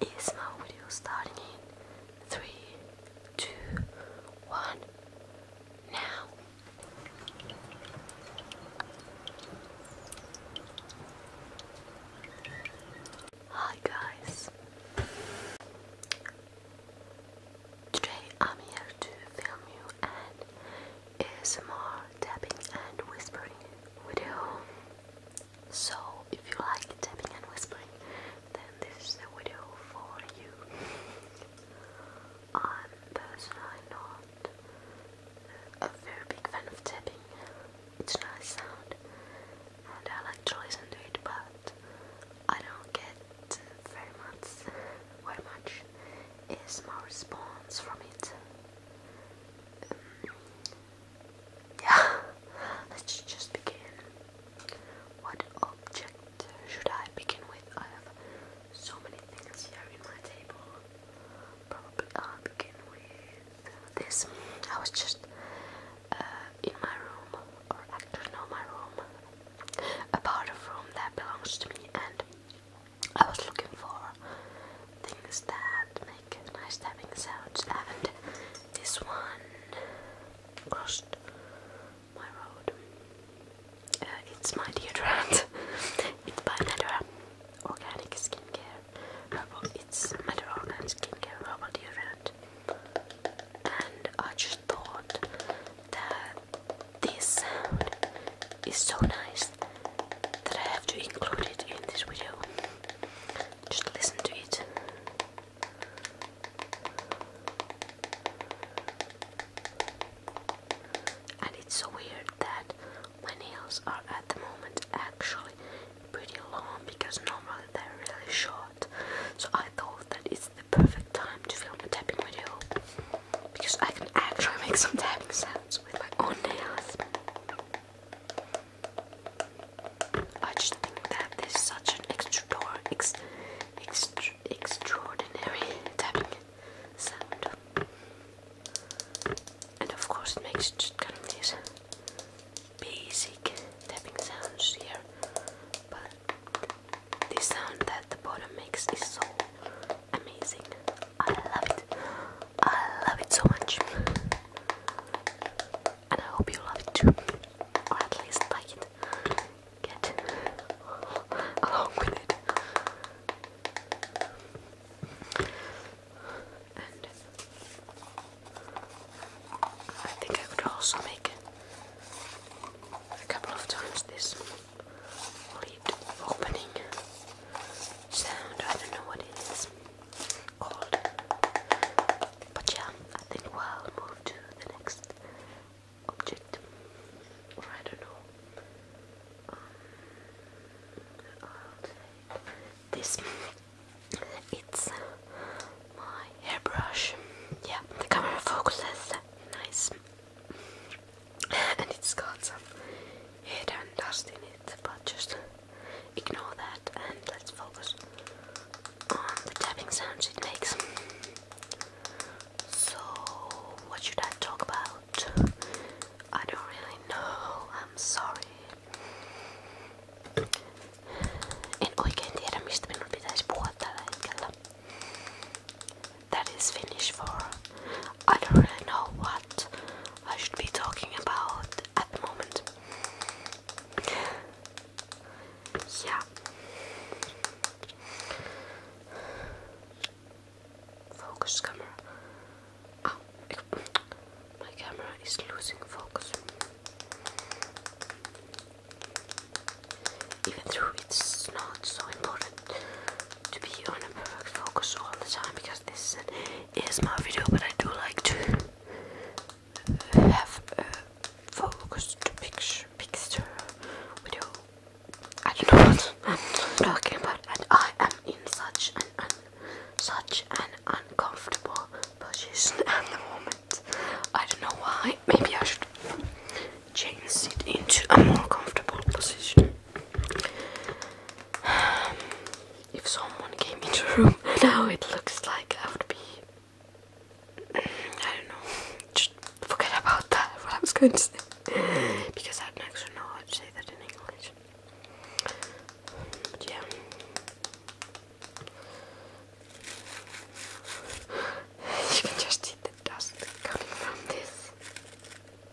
is my video starting in three, two, one, now. Hi guys, today I'm here to film you an ASMR tapping and whispering video. So if you like tapping and whispering, then this is the video for you. I'm personally not a very big fan of tapping. It's a nice sound and I like to listen it but I don't get very much very much is my response from it. Um, yeah, let's just begin. What object should I begin with? I have so many things here in my table. Probably I'll begin with this. I was just uh, in my room, or actually, no, my room, a part of room that belongs to me, and I was looking for things that make nice tapping sounds and this one crossed my road. Uh, it's my deodorant. it's by Natura Organic Skincare. Uh, it's Natura Organic Skincare Herbal Deodorant. And I just thought that this sound is so nice that I have to include it in this video. Just listen to it. And it's so weird that my nails are at the moment actually pretty long because normally they're really short. So I thought that it's the perfect time to film a tapping video because I can actually make some tapping sounds with my own nails. I just think that this is such an extra ex, extra, extraordinary tapping sound. And of course, it makes just kind of these basic tapping sounds here. But this sound that the bottom makes is so amazing. I love it. I love it so much and I hope you love it too, or at least like it, get along with it. And I think I could also make a couple of times this lid opening sound. I don't know what it is. But yeah, I think we'll move to the next object. I don't know. Um, this. It's my hairbrush. Yeah, the camera focuses. Nice. And it's got some hair and dust in it, but just ignore that and let's focus on the tapping sounds it makes. So, what should I talk about? I don't really know, I'm sorry. En oikein tiedä mistä minun pitäisi puhua tällä hetkellä. That is Finnish for I don't really know what I should be talking about at the moment. Yeah. Focus camera. Oh, my camera is losing focus. Even though it's not so important to be on a perfect focus all the time because this is my video, but I do like to have a focused picture, video. I don't know what I'm talking about, and I am in such an, uncomfortable position at the moment. I don't know why. Maybe I should change it into a more comfortable position. Um, if someone came into the room now it looks like I would be I don't know just forget about that what was going to say because I don't actually know how to say that in English yeah you can just see the dust coming from this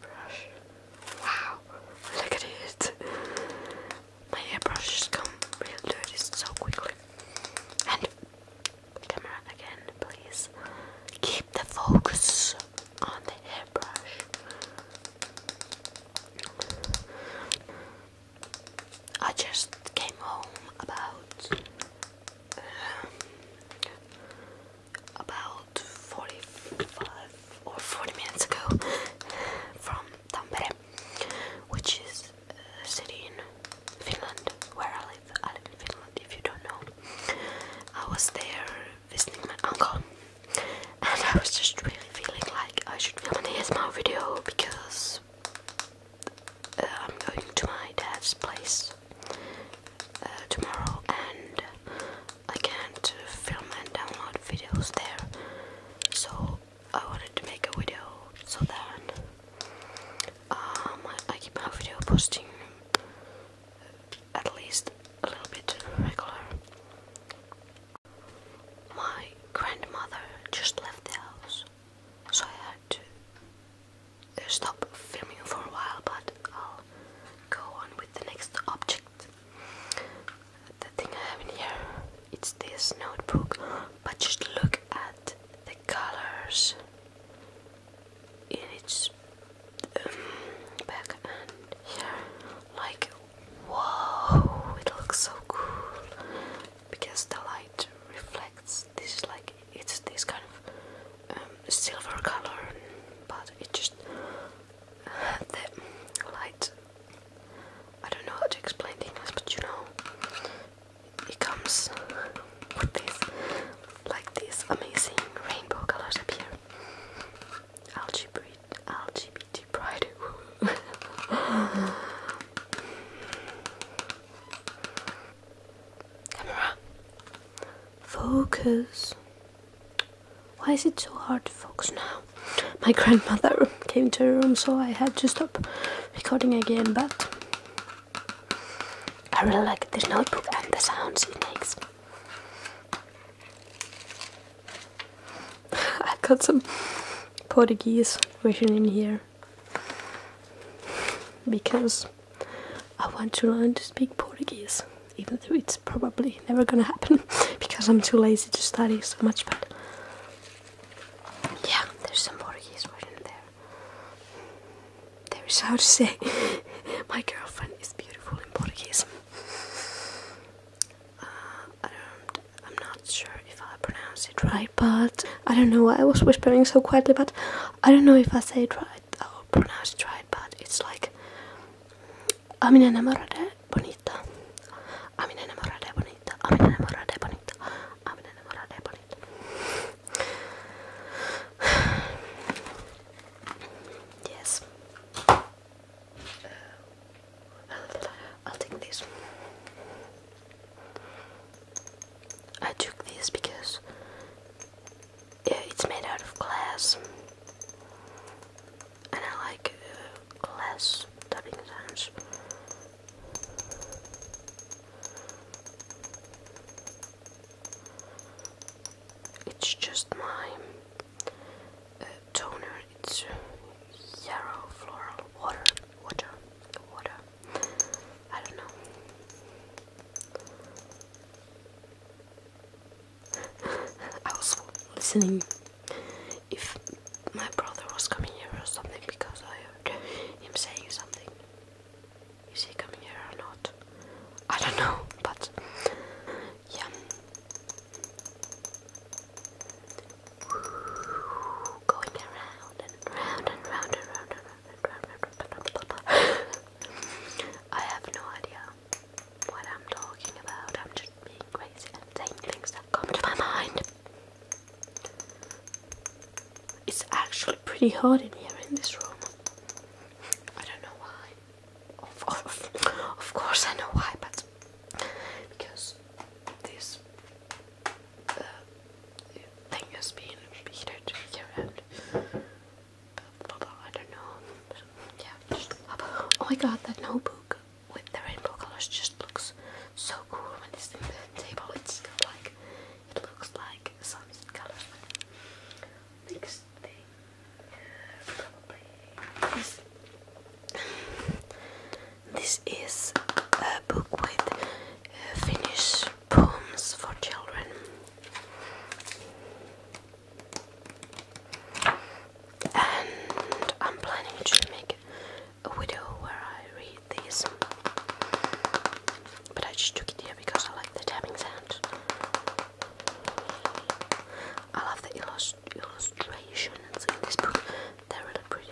brush wow look at it my hairbrushes come real dirty so quickly. And camera again, please. Keep the focus on the hairbrush. I just came home about um, about 45 or 40 minutes ago from Tampere which is a city in Finland where I live. I live in Finland, if you don't know. I was there visiting my uncle, and I was just really feeling like I should film an ASMR video because uh, I'm going to my dad's place uh, tomorrow, and I can't film and download videos there. So I wanted to make a video so that um, I keep my video posting at least a little bit regular. My grandmother just left the house, so I had to stop filming for a while, but I'll go on with the next object the thing I have in here, it's this notebook, but just look at the colors in its um, back and Like, whoa, it looks so cool because the light reflects this, like, it's this kind of um, silver color, but it just uh, the light I don't know how to explain things, but you know, it comes with this, like these amazing rainbow colors up here. LGBT, LGBT pride. Camera, focus. Why is it so hard to focus now? my grandmother came to her room so I had to stop recording again but I really like this notebook and the sounds it makes. i got some Portuguese version in here because I want to learn to speak Portuguese even though it's probably never gonna happen because I'm too lazy to study so much but yeah, there's some Portuguese word in there. There is how to say, my girlfriend is beautiful in Portuguese. Uh, I don't, I'm not sure if I pronounce it right, but I don't know why I was whispering so quietly, but I don't know if I say it right or pronounce it right, but it's like, I'm enamorada bonita a mi enamorada es bonita, a mi enamorada es bonita, a mi enamorada es bonita. Yes. Uh, I'll take this. I took this because yeah, it's made out of glass and I like uh, less tapping sounds. It's just my uh, toner. It's uh, yarrow floral water, water, water. I don't know. I was listening if my brother was coming here or something because I heard him saying something. Is he coming here or not? I don't know, but yeah. Going around and round and round and round and round and round and round. I have no idea what I'm talking about. I'm just being crazy and saying things that come to my mind. It's actually pretty hot in here in this room. I don't know why. Of, course, I know why, but because this uh, thing has been heated here and I don't know. Yeah. oh my god, that notebook with the rainbow colors just looks so cool when it's in the table. It's like it looks like sunset colors. Next thing probably this is a book with uh, Finnish poems for children. And I'm planning to make a video where I read these, but I just took it here because I like the tapping sound. I love the illust in this book, they're really pretty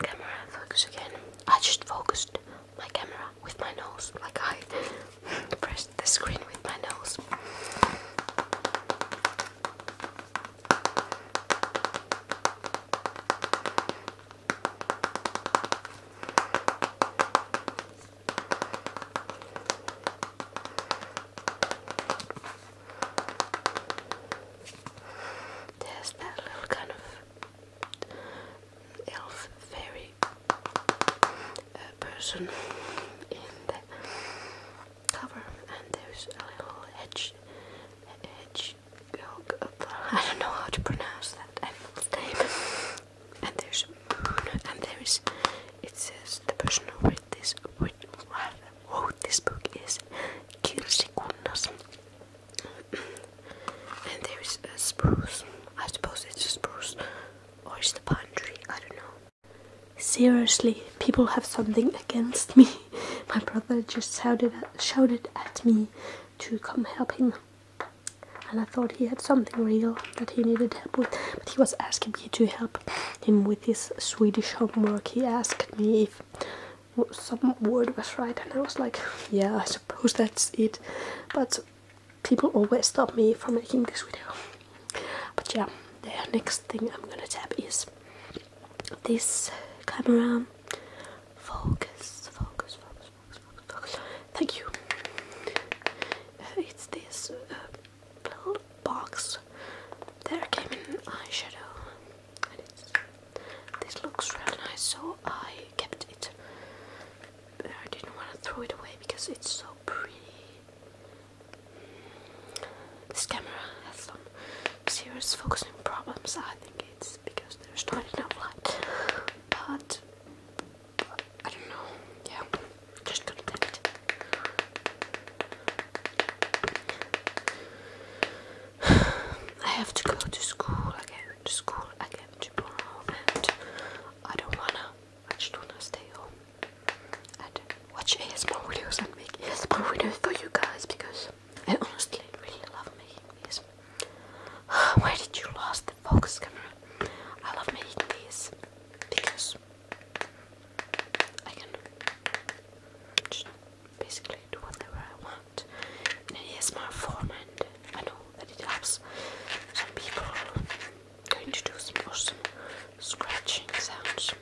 camera, focus again. I just focused my camera with my nose, like I pressed the screen with my nose. There's that little kind of elf fairy uh, person in the cover, and there's a little edge hedge I don't know how to pronounce that animal's name. And there's and there is. It says the person with this with Whoa, this book is Kirsikunnas. and there is a spruce. I suppose it's a spruce. Or it's the pine tree, I don't know. Seriously, people have something against me. My brother just shouted at, shouted at me to come help him. And I thought he had something real that he needed help with, but he was asking me to help him with his Swedish homework. He asked me if some word was right, and I was like, yeah, I suppose that's it. But people always stop me from making this video. But yeah, the next thing I'm gonna tap is this camera. Focus, focus, focus, focus, focus. Thank you. it's this uh, little box there came an eyeshadow and this looks really nice so I kept it I didn't want to throw it away because it's so pretty mm. this camera has some serious focusing problems I think it's because there's not enough light but I don't know yeah just gonna take it I have to go to school again, to school again tomorrow, and I don't wanna, I just wanna stay home and watch ASMR videos and make ASMR videos for you guys because I honestly really love making these. Why did you lose the focus camera? I love making these because I can just basically do whatever I want in an ASMR and I know that it helps some people going to do some scratching sounds.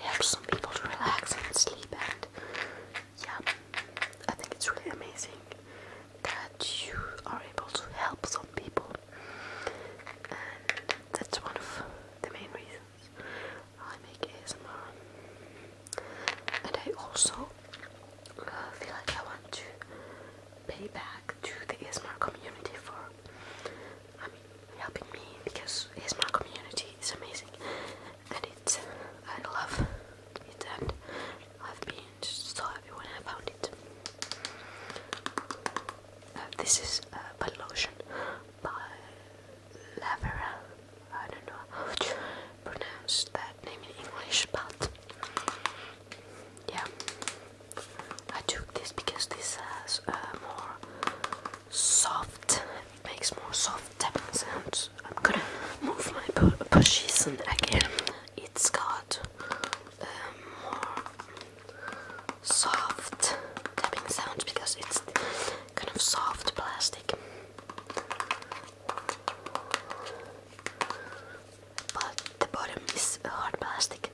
helps some people to relax and sleep and yeah, I think it's really amazing that you are able to help some people and that's one of the main reasons I make ASMR. And I also uh, feel like I want to pay back to the ASMR community for I mean, helping me because ASMR community is amazing and it's, I love it and I've been so happy when I found it. Uh, this is a uh, body lotion by Laveran. I don't know pronounce that name in English, but yeah, I took this because this has uh, more soft, it makes more soft tapping sounds. I'm gonna move my position again. It's got um, more soft tapping sounds because it's kind of soft plastic. But the bottom is hard plastic.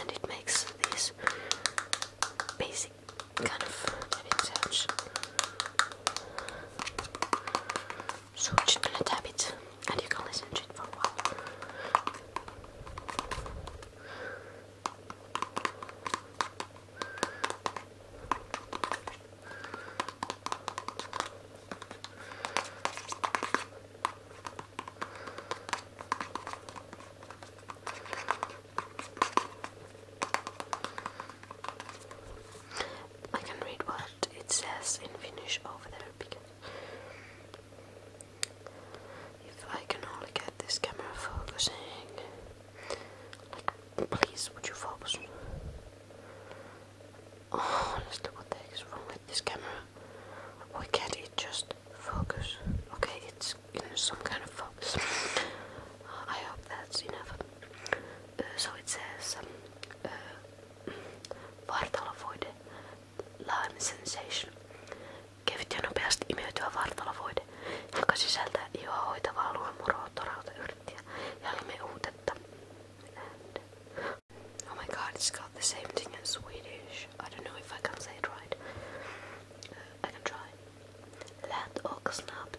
And it makes these basic kind of tapping sounds. So I'm just gonna tap it and you can listen to it for a while. I can read what it says in Finnish over there because if I can only get this camera focusing. please, would you focus? honestly, what the heck is wrong with this camera? Why can't it just focus? Okay, it's in some kind of focus. I hope that's enough. Uh, so it says, um, uh, Vartalo mm, Lime Sensation. Kevyt ja nopeasti imeytyvä vartalovoide, joka sisältää ihoa hoitavaa luomuroa, torauta, yrttiä ja limeuutetta. And oh my god, it's got the same thing in Swedish. I don't know if I can say it right. Uh, I can try. Lät och snabbt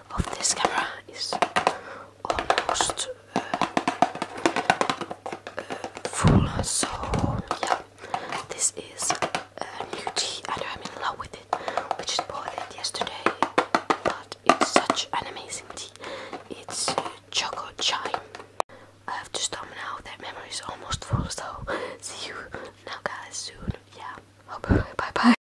of this camera is almost uh, uh, full, so yeah, this is a new tea I know I'm in love with it, which just bought it yesterday, but it's such an amazing tea. It's uh, choco chai. I have to stop now, that memory is almost full, so see you now guys soon. Yeah, bye bye.